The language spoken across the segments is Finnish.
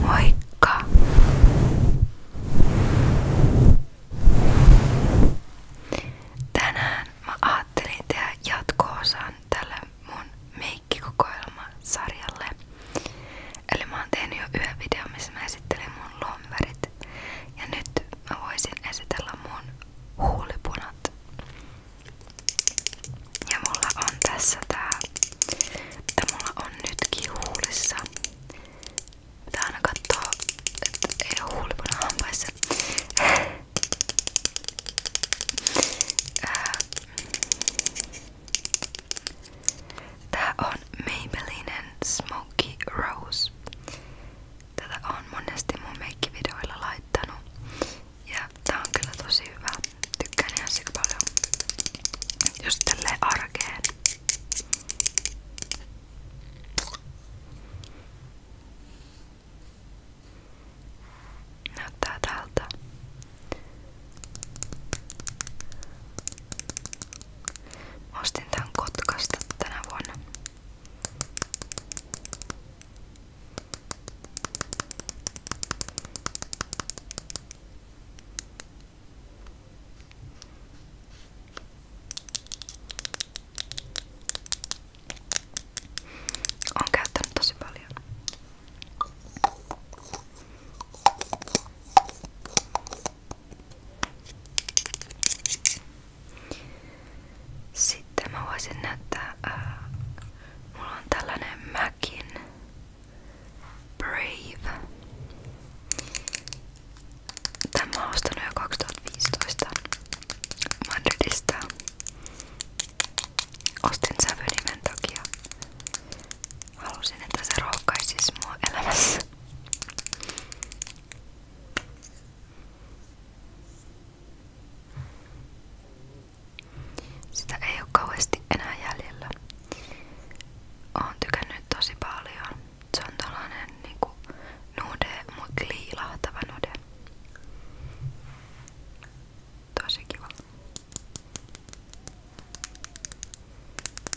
Moikka! Tänään mä ajattelin tehdä jatko-osan tälle mun make leikkikokoelma sarjalle. Eli mä oon tehnyt jo yhden videon, missä mä esittelen mun lomverit. Ja nyt mä voisin esitellä mun huulipunat. Ja mulla on tässä tää, mitä mulla on nytkin huulissa. Pitää aina kattoo, että ei oo huulipuna hampaissa. Ää, Tää on Maybellinen Smoky Rose. Tätä on monesti mun meikkivideoilla laittanut. Ja tää on kyllä tosi hyvä. Tykkään ihan sika paljon. Just tälleen arkeen. Näyttää tältä. Mä ostin tän Kotkasta tänä vuonna. Olen käyttänyt tosi paljon. Sitten mä voisin näyttää, äh, mulla on tällainen Mäkin Brave. Tämä mä oon ostanut jo 2015 Madridista. Ostin sävynimen takia. Halusin, että se rohkaisisi mua elämässä. Sitä ei ole kauheasti enää jäljellä. Oon tykännyt tosi paljon. Se on tällainen niinku nude, mutta liilahtava nude. Tosi kiva.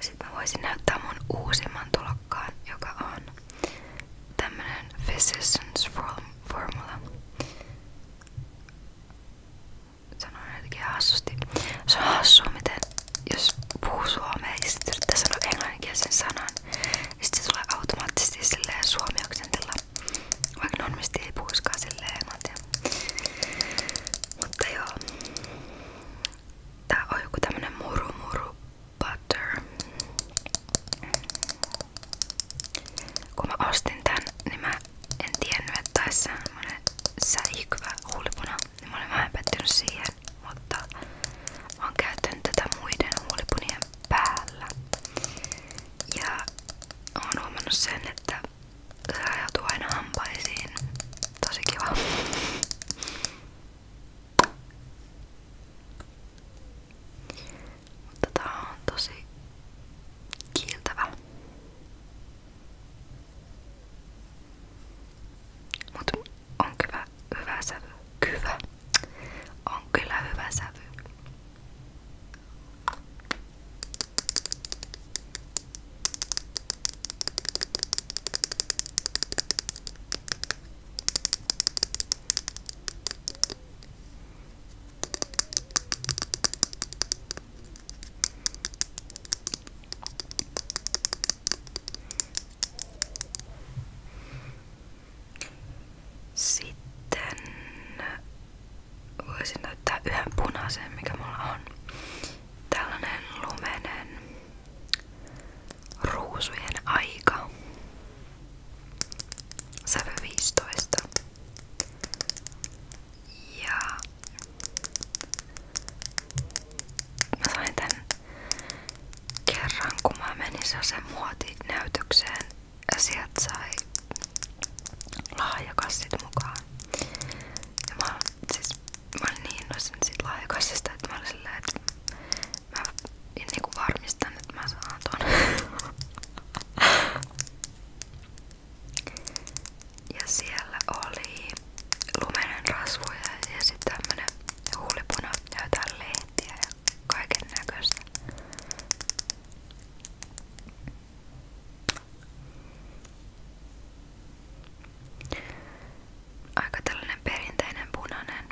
Sitten mä voisin näyttää mun joka on tämmönen Physicians Formula. Sanoin hassusti. Se on miten jos puhuu suomea ja sitten yrittää sanan, niin automaattisesti silleen suomi oksentilla. Vaikka normisti ei puhuiskaan silleen englantia. Mutta joo. Tää on joku muru muru butter. Kun mä ostin tän, niin mä en tiennyt, että tää semmonen Niin mä olin vähän mutta mä oon käyttänyt tätä muiden päällä. Ja oon huomannut sen, että se rajautuu aina hampaisiin. Tosi kiva. Mutta tää on tosi kiiltävä. Mut on kyllä hyvä sävy. Kyvä. On kyllä hyvä sävy. Sitten Voisin näyttää yhden punaisen, mikä mulla on. Tällainen lumenen ruusujen aika. Sävy 15. Ja mä sain tän kerran kun mä menin sen muotinäytökseen ja sieltä sai lahjakassit mukaan. Ja mä, siis, mä olin niin innoissani siitä lahjakassista, että mä olin silleen, että mä niinku varmistan, että mä saan ton. ja siellä oli lumenen rasvoja ja sit tämmönen huulipuna ja jotain lehtiä ja kaiken näköistä. Aika tällainen perinteinen punainen.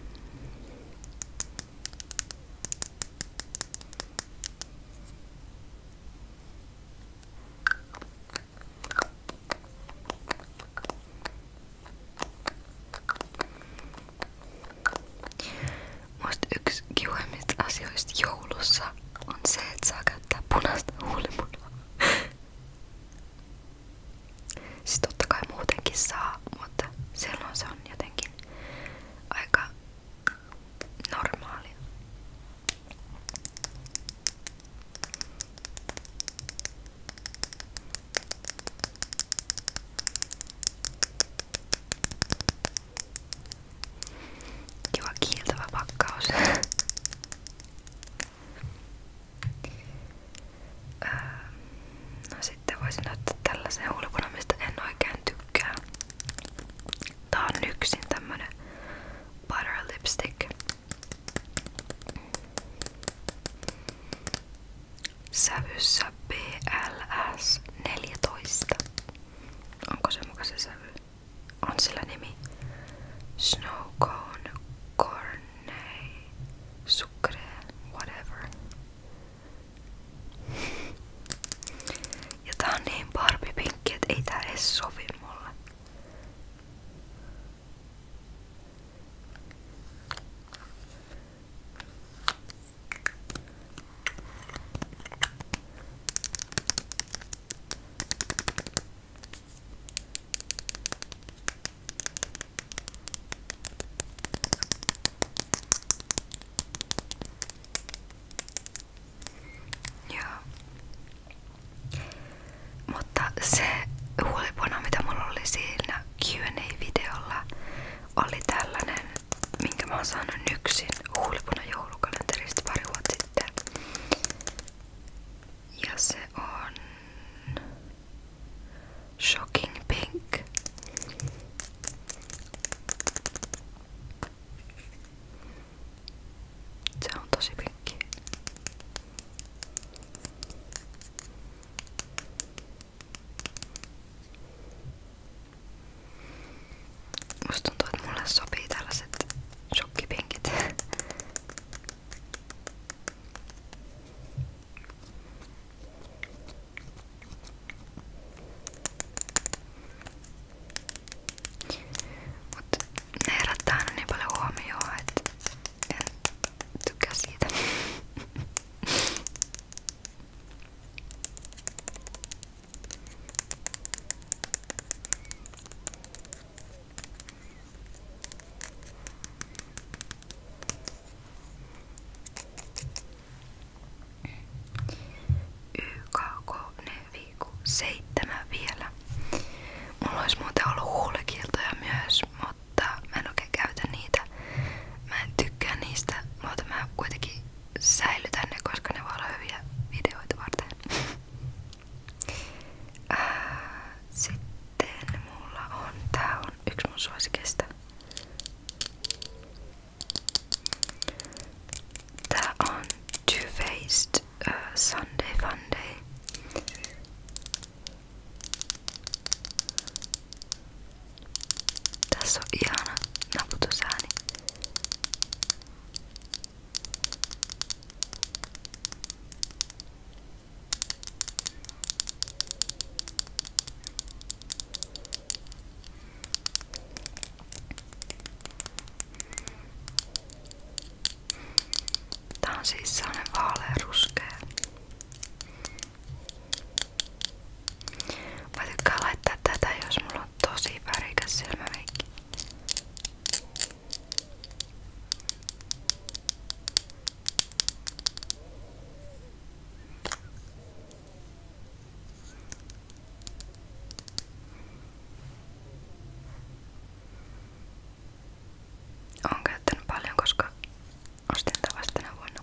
Musta yksi kiuimmista asioista joulussa on se, että saa käyttää punaista huulimunaa. Siis totta kai muutenkin saa, mutta silloin se on jotenkin aika normaalia. Kiva kiiltävä pakkaus. Öö, no sitten voisin ottaa tällaisen ulkona, mistä en Tää on yksin tämmönen butter lipstick. Sävyssä BLS 14. Onko se muka se sävy? on sillä nimi Snow Cone, Corne, Sucre, whatever. Ja tää on niin barbipinkki, että ei tää edes sovi mulle. Joo. Mutta se huolipuna, mitä mulla oli siinä Q&A-videolla, oli tällainen, minkä mä oon saanut yksin huolipuna joulukalenterista pari vuotta sitten. Ja se on Shocking Pink. Se on tosi pinkki. Musta tuntuu, että mulle sopii tällaiset shokkipenkit. Mut ne herättää aina niin paljon huomioon, että en tykkää siitä. YKK viikko seitsemän vielä. Mulla olisi muuten ollut huulekiltoja myös, mutta mä en oikein käytä niitä. Mä en tykkää niistä, mutta mä kuitenkin säilytän ne, koska ne voi olla hyviä videoita varten. Ää, äh, sitten mulla on, tää on yksi mun suosikeista. Tää on Too Faced uh, äh, Sunday Funday. Tässä on ihana naputusääni. Tää on siis sellainen vaaleanruskea. Mä tykkään laittaa tätä, jos mulla on tosi värikäs silmäveikki. Olen käyttänyt paljon, koska ostin tätä vasta tänä vuonna.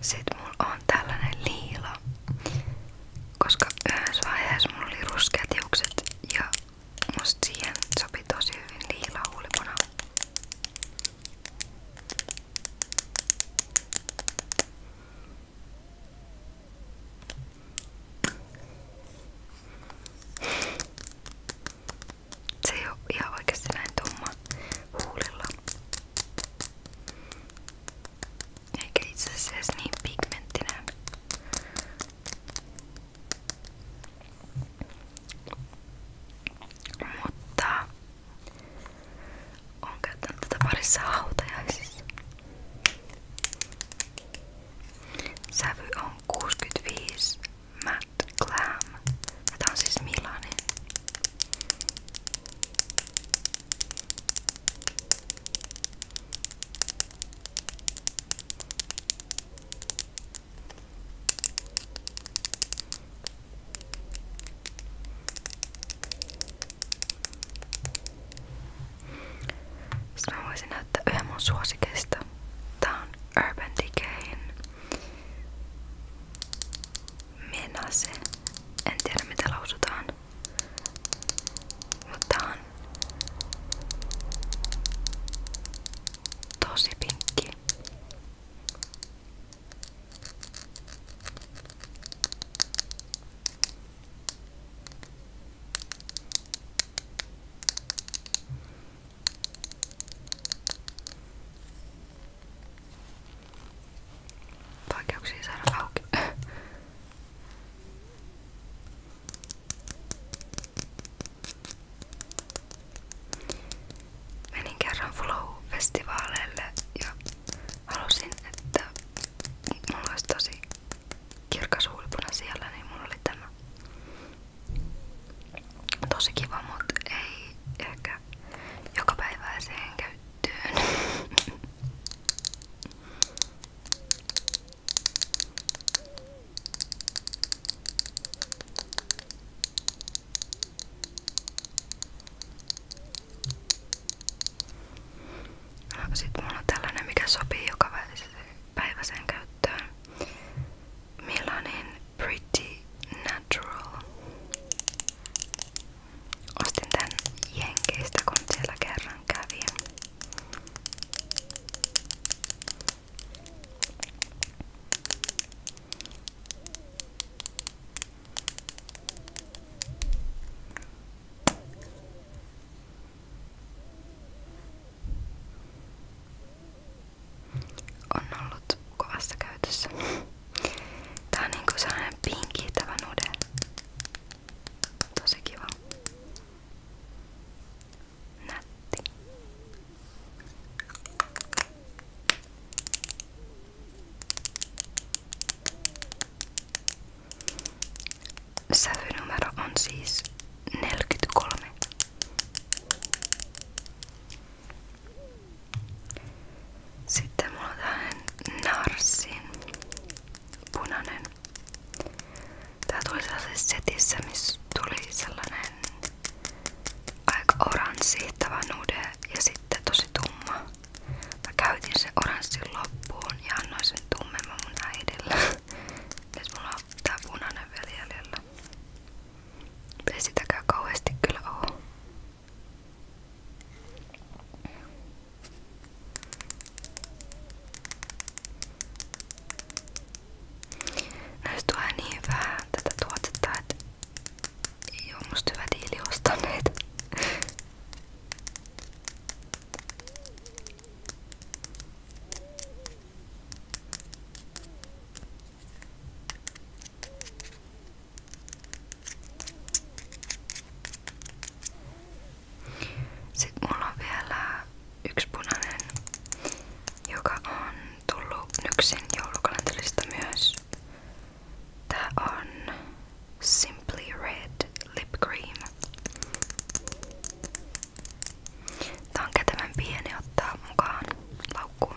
Sitten mulla on tällainen liila, koska yhdessä vaiheessa mulla oli ruskeat hiukset ja musta siihen sopi tosi hyvin liila huulipuna. Se ei oo ihan oikeesti näin tumma huulilla. Eikä itse asiassa niin pigmenttinen. Mutta on käyttänyt tätä parissa hautajaisissa. Sävy on 65 Matt Glam. Tämä on siis Milanin. Eh. Sitten mä voisin näyttää yhden mun suosikeista. Tää on Urban Decayn Menase. En tiedä mitä lausutaan. Mutta on tosi pinkki. Vaikeuksia saada auki. Menin kerran Flow-festivaaleille ja halusin, että mulla olisi tosi kirkas huulipuna siellä, niin mulla tämä. Tosi kiva, mutta ei ehkä jokapäiväiseen käy käyttöön. No, sitten mulla on tällainen, mikä sopii joka päiväiseen käyttöön. Millainen Pretty Natural. Ostin tän Jenkeistä, kun siellä kerran kävin. On ollut kovassa käytössä. Tää on niinku sellainen pinkittävä nude. Tosi kiva. Nätti. Sävynumero on siis 43. Sitten mulla on tällainen Narsin punainen. Tää tuli sellaisessa setissä, missä tuli sellainen aika oranssihtava nude ja sitten tosi tumma. Mä käytin sen oranssin loppuun ja annoin sen tummemman mun äidille. Nyt mulla on tää punainen vielä jäljellä. Ei sitäkään kauheasti kyllä oo. Näistä no tulee niin vähän tätä tuotetta, että ei oo musta hyvä diili ostaa näitä. Sitten mulla on vielä yksi punainen, joka on tullut Nyksin joulukalenterista myös. Tää on Simply Red Lip Cream. Tää on kätevän pieni ottaa mukaan laukkuun.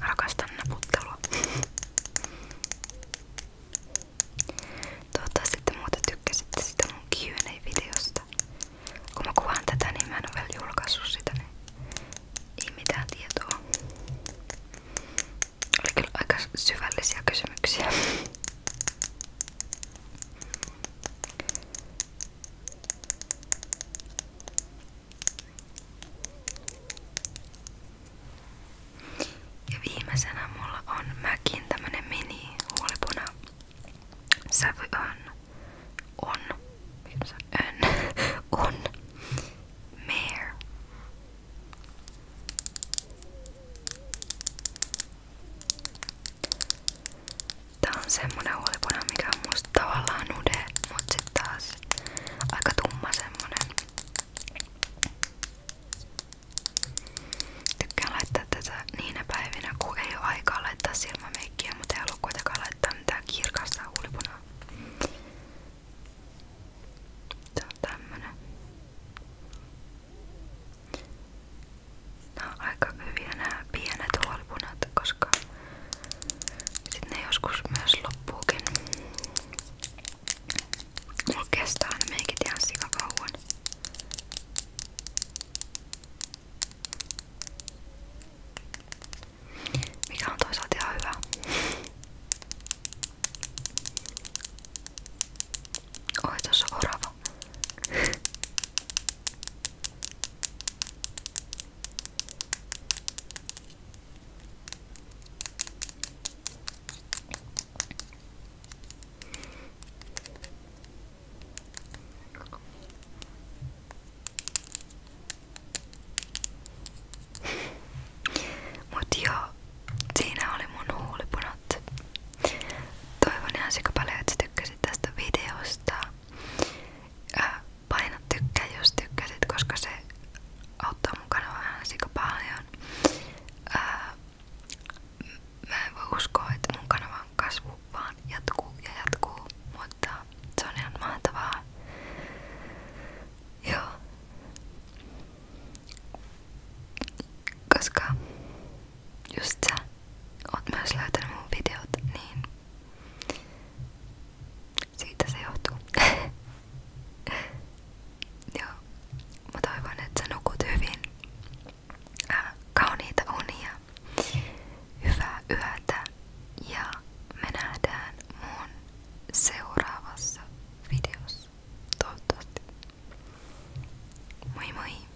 Rakastan naputtelua. Toivottavasti te muuten tykkäsitte sitä mun Q&A-videosta. Kun mä kuvaan tätä, niin mä en oo vielä julkaissut sitä, niin ei mitään tietoa. Oli kyllä aika syvällisiä kysymyksiä. Ja viimeisenä mulla on mäkin tämmönen mini huolipuna sävy on on on on mare Tää on semmonen huolipuna, mikä on musta tavallaan nude, mut sit taas aika tumma semmonen. Tykkään laittaa tätä niinä päivinä, kun ei oo aikaa laittaa silmämeikkiä, mutta ei halua kuitenkaan laittaa mitään kirkasta huulipunaa. Se on tämmönen. Nämä on aika hyviä nämä koska sitten joskus myös loppuukin. Mulla kestää ne meikit Mikä on toisaalta ihan hyvä. Oi, tuossa orava. Mut joo, siinä oli mun huulipunot. Toivon ihan paljon, että tykkäsit tästä videosta. Ää, paina koska se auttaa mun kanavaa sika mä en että mun kanavan kasvu jatkuu ja jatkuu, mutta se on ihan Koska just sä oot myös löytänyt mun videot, niin siitä se johtuu. Joo, mä toivon, että sä nukut hyvin. Äh, kauniita unia, hyvää yötä ja me nähdään mun seuraavassa videossa. Toivottavasti. Moi moi!